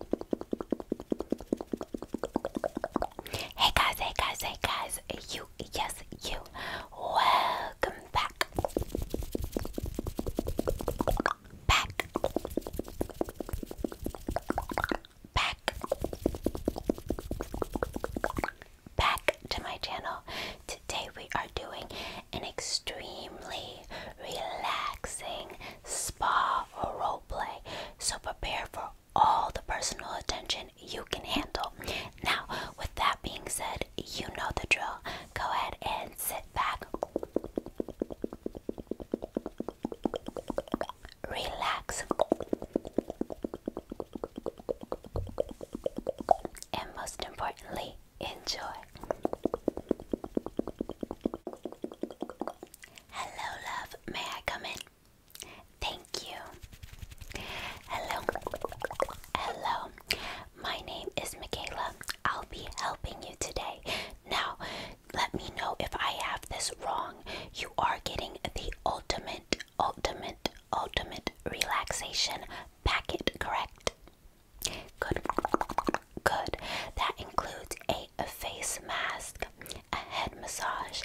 Hey guys, hey guys, hey guys, you, yes, you, welcome back, back, back, back to my channel. Today we are doing an extremely relaxing spa roll play, so prepare for all the personal attention you can handle. Now, with that being said, you know the drill. Go ahead and sit back, relax, and most importantly, enjoy. Hello, love. May I come in? Thank you. Hello. Hello. My name is Michaela. I'll be helping you today. Now, let me know if I have this wrong. You are getting the ultimate, ultimate, ultimate relaxation packet, correct? Good good. That includes a, a face mask, a head massage,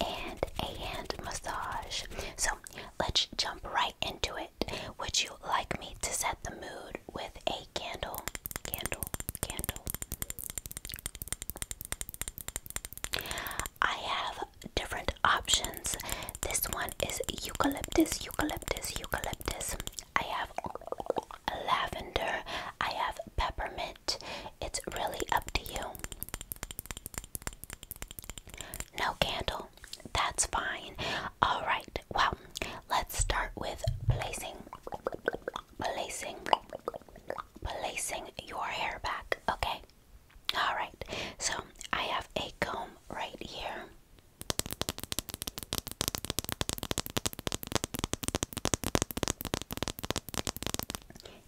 and a hand massage. So let's jump right into it. Would you like me to set the mood with a candle? Candle, candle. I have different options. This one is eucalyptus, eucalyptus, eucalyptus. I have lavender, I have peppermint. It's really up to you. No candle, that's fine. All right. Well, let's start with placing placing placing your hair back, okay? All right. So, I have a comb right here.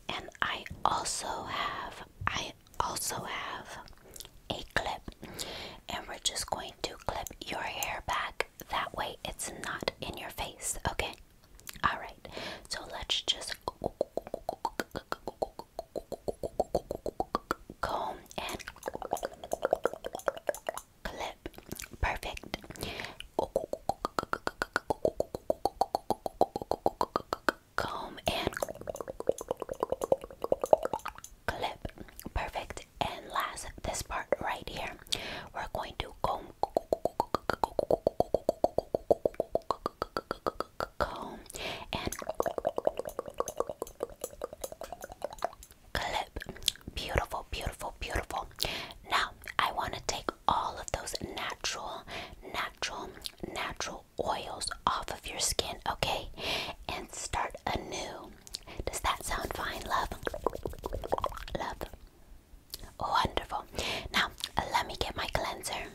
And I also have, I also have a clip, and we're just going to clip your hair back. That way, it's not in your face, okay? All right, so let's just comb and clip. Perfect. Comb and clip. Perfect. And last, this part right here, we're going to comb. and clip. Beautiful, beautiful, beautiful. Now, I want to take all of those natural, natural, natural oils off of your skin, okay? And start anew. Does that sound fine, love? Love. Wonderful. Now, let me get my cleanser.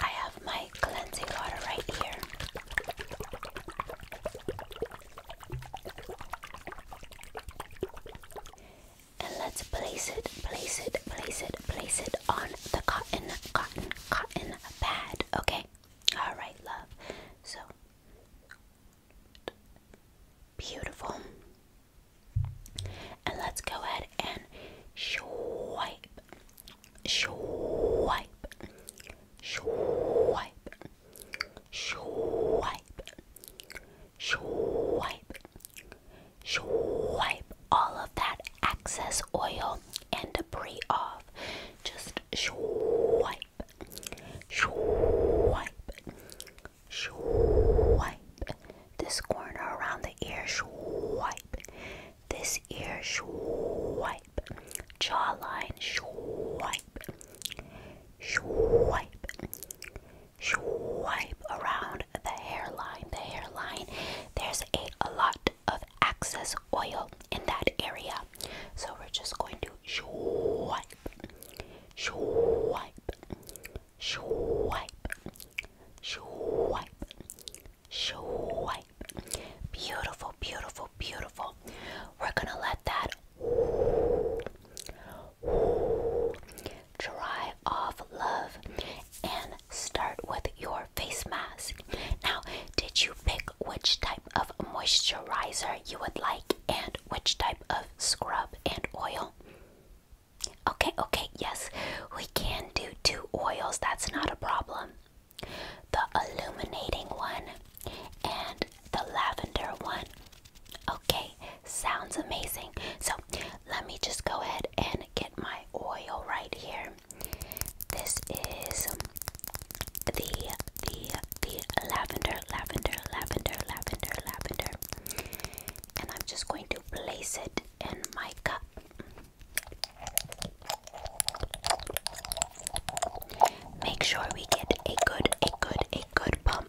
I have my cleansing water right here and let's place it, place it, place it, place it on the cotton, cotton, cotton pad. Okay? Alright, love. So, beautiful. And let's go ahead and swipe, swipe, swipe, swipe, swipe, Swipe all of that excess oil and debris off. Just swipe, swipe, swipe. This corner around the ear, swipe. This ear, swipe. Jawline, swipe, swipe, swipe around the hairline. The hairline, there's a, a lot of excess oil in that area. So we're just going to swipe, swipe, swipe, swipe, swipe. Beautiful, beautiful, beautiful. We're gonna let that dry of love and start with your face mask. Now, did you pick which type of moisturizer you would like and which type of scrub and oil? Okay, okay, yes, we can do two oils, that's not a problem. The illuminating one and the lavender one. Okay, sounds amazing. So let me just go ahead and get my oil right here. This is the the the lavender, lavender, lavender, lavender, lavender. And I'm just going to place it in my cup. Make sure we get a good, a good, a good pump.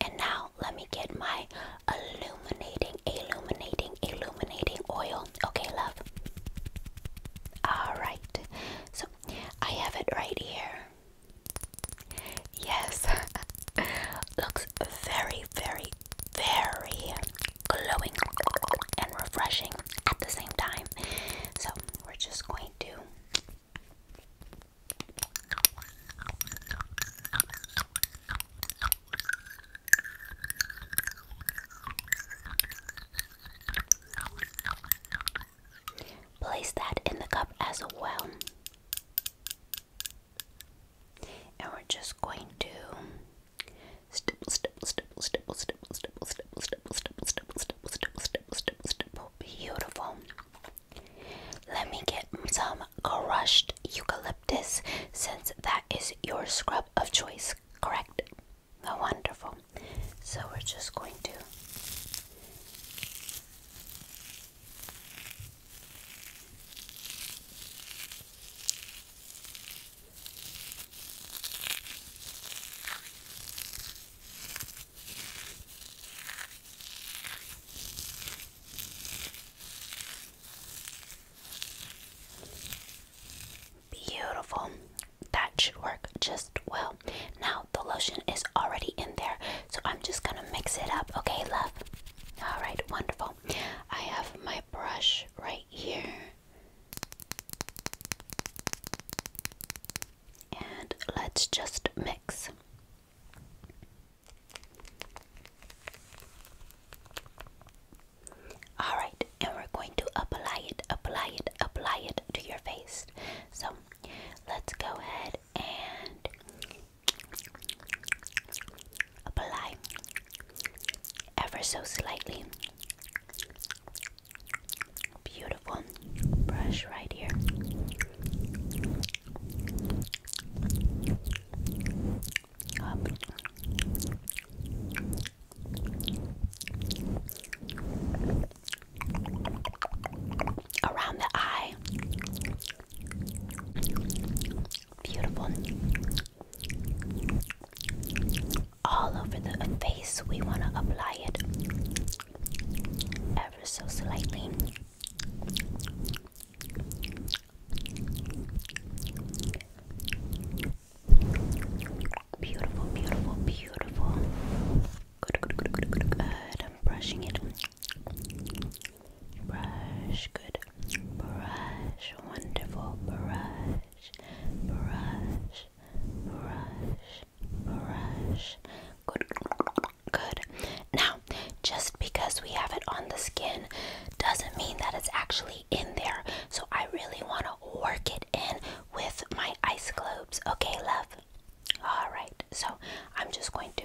And now let me get my illuminating, illuminating, illuminating oil. Okay, love. Alright. So I have it right here. Yes. Looks very, very, very glowing and refreshing at the same time. So we're just going to Place that in the cup as well. And we're just going to beautiful. Let me get some crushed eucalyptus since that is your scrub of choice, correct? Oh, wonderful. So we're just going to Beautiful. That should work just well. Now the lotion is already in there, so I'm just gonna mix it up. Okay, love. All right, wonderful. I have my brush right here and let's just mix. All right, and we're going to apply it, apply it, apply it to your face. So let's go ahead and apply ever so slightly. Beautiful brush right here. Around the eye. Beautiful. All over the face, we want to apply it ever so slightly. Beautiful, beautiful, beautiful. Good, good, good, good, good, good. I'm brushing it. Brush, good. Brush, wonderful. Brush, brush, brush, brush. Good, good. Now, just because we have it on the skin doesn't mean that it's actually in there. So I really want to work it in with my ice globes. Okay, love? Alright, so I'm just going to.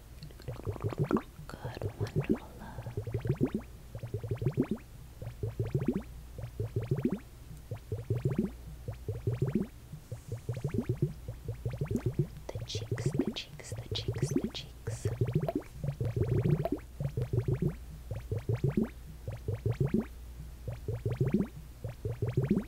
Good, wonderful love. The cheeks, the cheeks, the cheeks, the cheeks.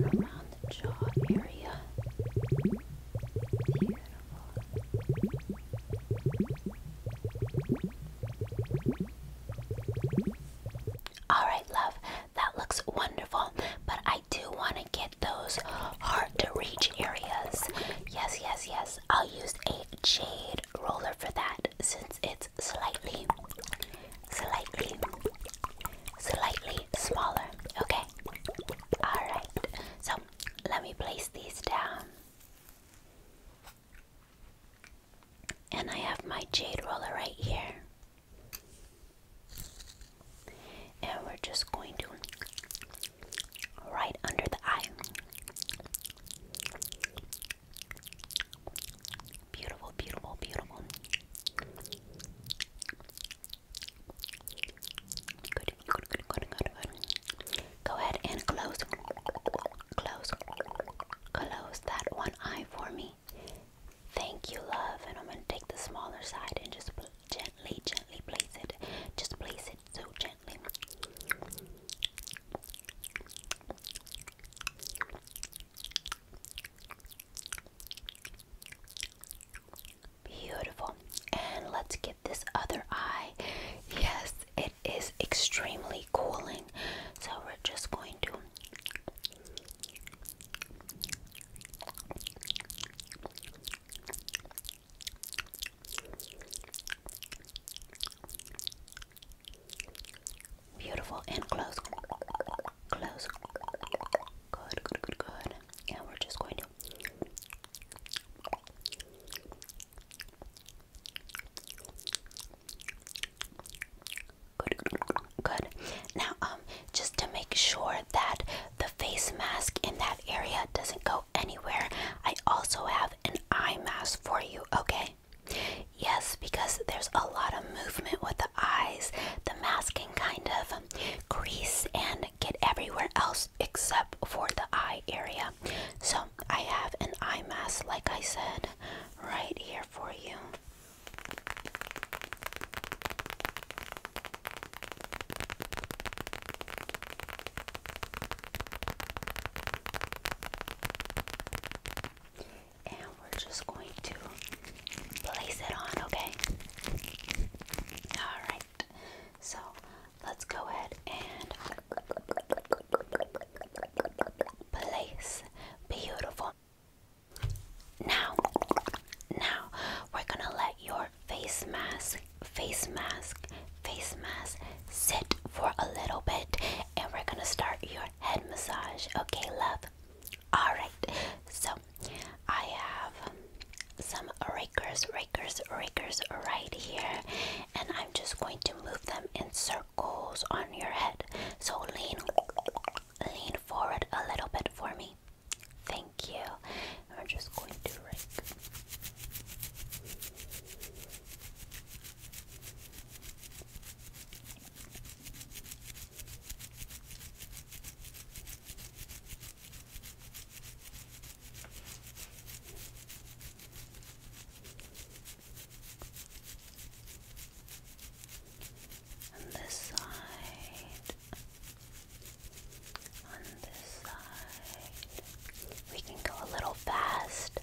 around the jaw area. Beautiful. All right, love, that looks wonderful, but I do want to get those hard to reach areas. Yes, yes, yes. I'll use a jade roller for that since it's slightly, slightly, slightly smaller. Okay. All right. So let me place these down. And I have my jade roller right here. And we're just going to right under the eye. Beautiful, beautiful, beautiful. Go ahead and close, close, close that one eye for me. Thank you, love. And I'm going to take the smaller side and just place gently, gently place it. Just place it so gently. Beautiful. And let's get this other eye. Yes, it is extremely cooling. So we're just going to Beautiful and close. Close. Good, good, good, good. And we're just going to good. Now, um, just to make sure that the face mask in that area doesn't go anywhere, I also have an eye mask for you, okay? Yes, because there's a lot of movement with the eyes. The mask can kind of um, crease and get everywhere else except for the eye area. So I have an eye mask, like I said, right here for you. And we're just going to place it on, okay? Alright, so let's go ahead and place. Beautiful. Now, now we're gonna let your face mask, face mask, face mask sit for a little bit and we're gonna start your head massage. Okay, love? Alright, so I have some rakers, rakers, rakers right here, and I'm just going to move them in circles on your head. So lean, lean forward a little bit for me. Thank you. we're just going to rake on this side, on this side. We can go a little fast.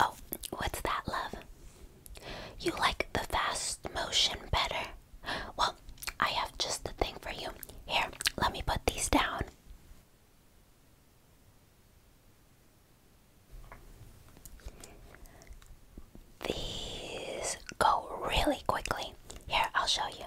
Oh, what's that, love? You like the fast motion better? Well, I have just the thing for you. Here, let me put these down. These go really quickly. Here, I'll show you.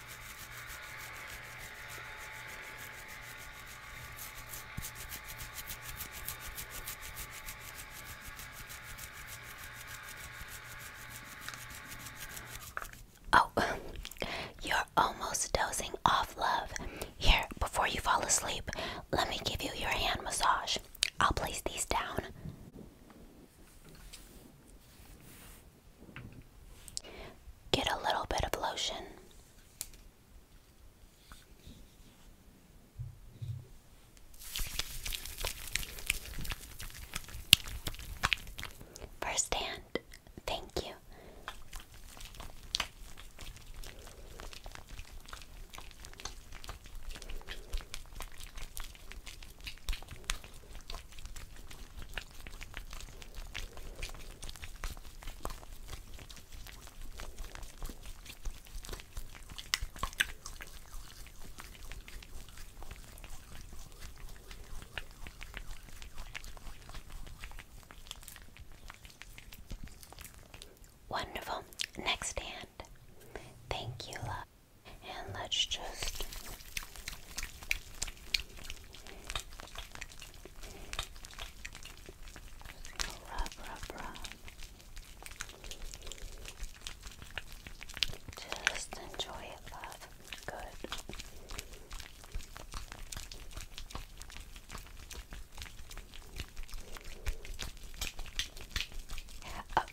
Oh, you're almost dozing off, love. Here, before you fall asleep, let me give you your hand massage. I'll place these down. Get a little bit of lotion. First hand, thank you. Wonderful. Next hand. Thank you, love. And let's just rub, rub, rub. Just enjoy it, love. Good. Oh,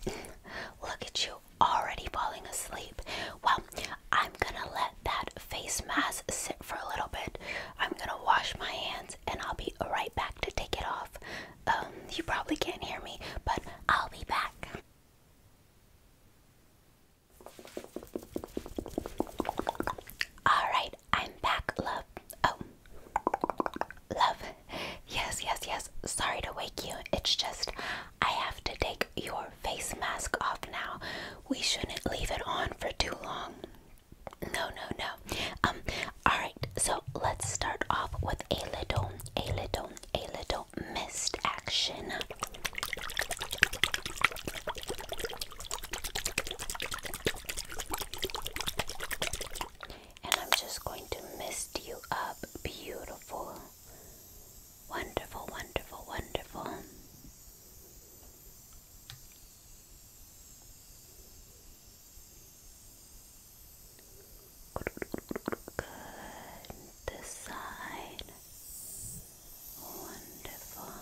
look at you already falling asleep. Well, I'm gonna let that face mask sit for a little bit. I'm gonna wash my hands and I'll be right back to take it off. Um, you probably can't hear me, but I'll be back. Alright, I'm back, love. Oh, love. Yes, yes, yes. Sorry to wake you. It's just I have to take your face mask off now. We shouldn't leave it on for too long. No, no, no. Um, alright, so let's start off with a little, a little, a little mist action. And I'm just going to mist you up beautiful. Wonderful, wonderful, wonderful. Good. This Wonderful.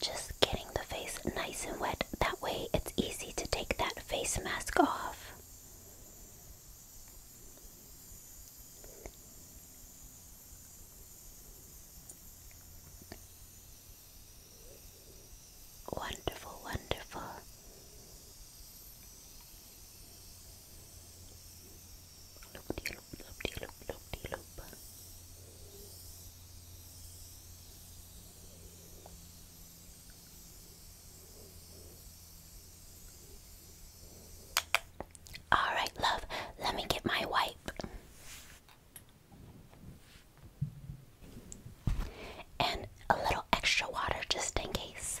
Just getting the face nice and wet. That way, easy to take that face mask off. Wonderful, wonderful. Loop de loop, loop loop, loop loop. All right, love, let me get my wipe. And a little extra water just in case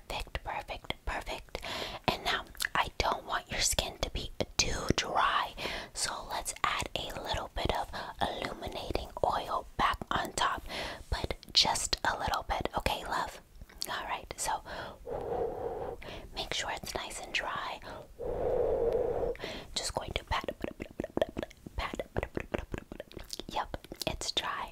perfect, perfect, perfect. And now I don't want your skin to be too dry, so let's add a little bit of illuminating oil back on top, but just a little bit, okay, love? All right, so make sure it's nice and dry. Just going to pat, pat, pat, pat, pat, pat, pat, pat, pat, pat. Yep, it's dry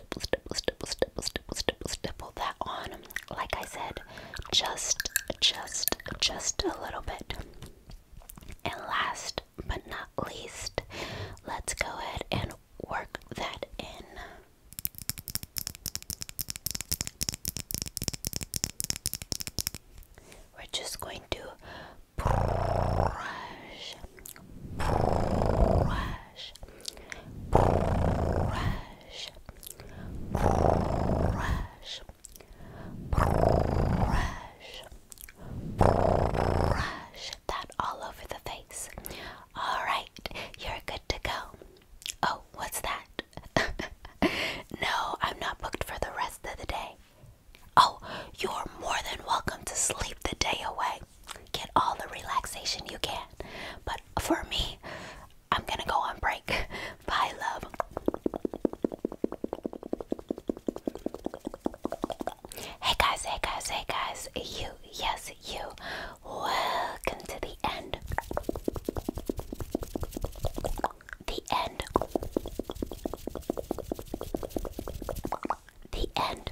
stipple, stipple, stipple, stipple, stipple, stipple, stipple that on. Like I said, just, just, just a little bit. And last but not least, let's go ahead and work that in. We're just going to brush, brush, brush, brush, brush, brush that all over the face. All right, you're good to go. Oh, what's that? no, I'm not booked for the rest of the day. Oh, you're more than welcome to sleep the day away get all the relaxation you can. But for me, I'm gonna go on break. Bye, love. Hey guys, hey guys, hey guys, you, yes, you. Welcome to the end. The end. The end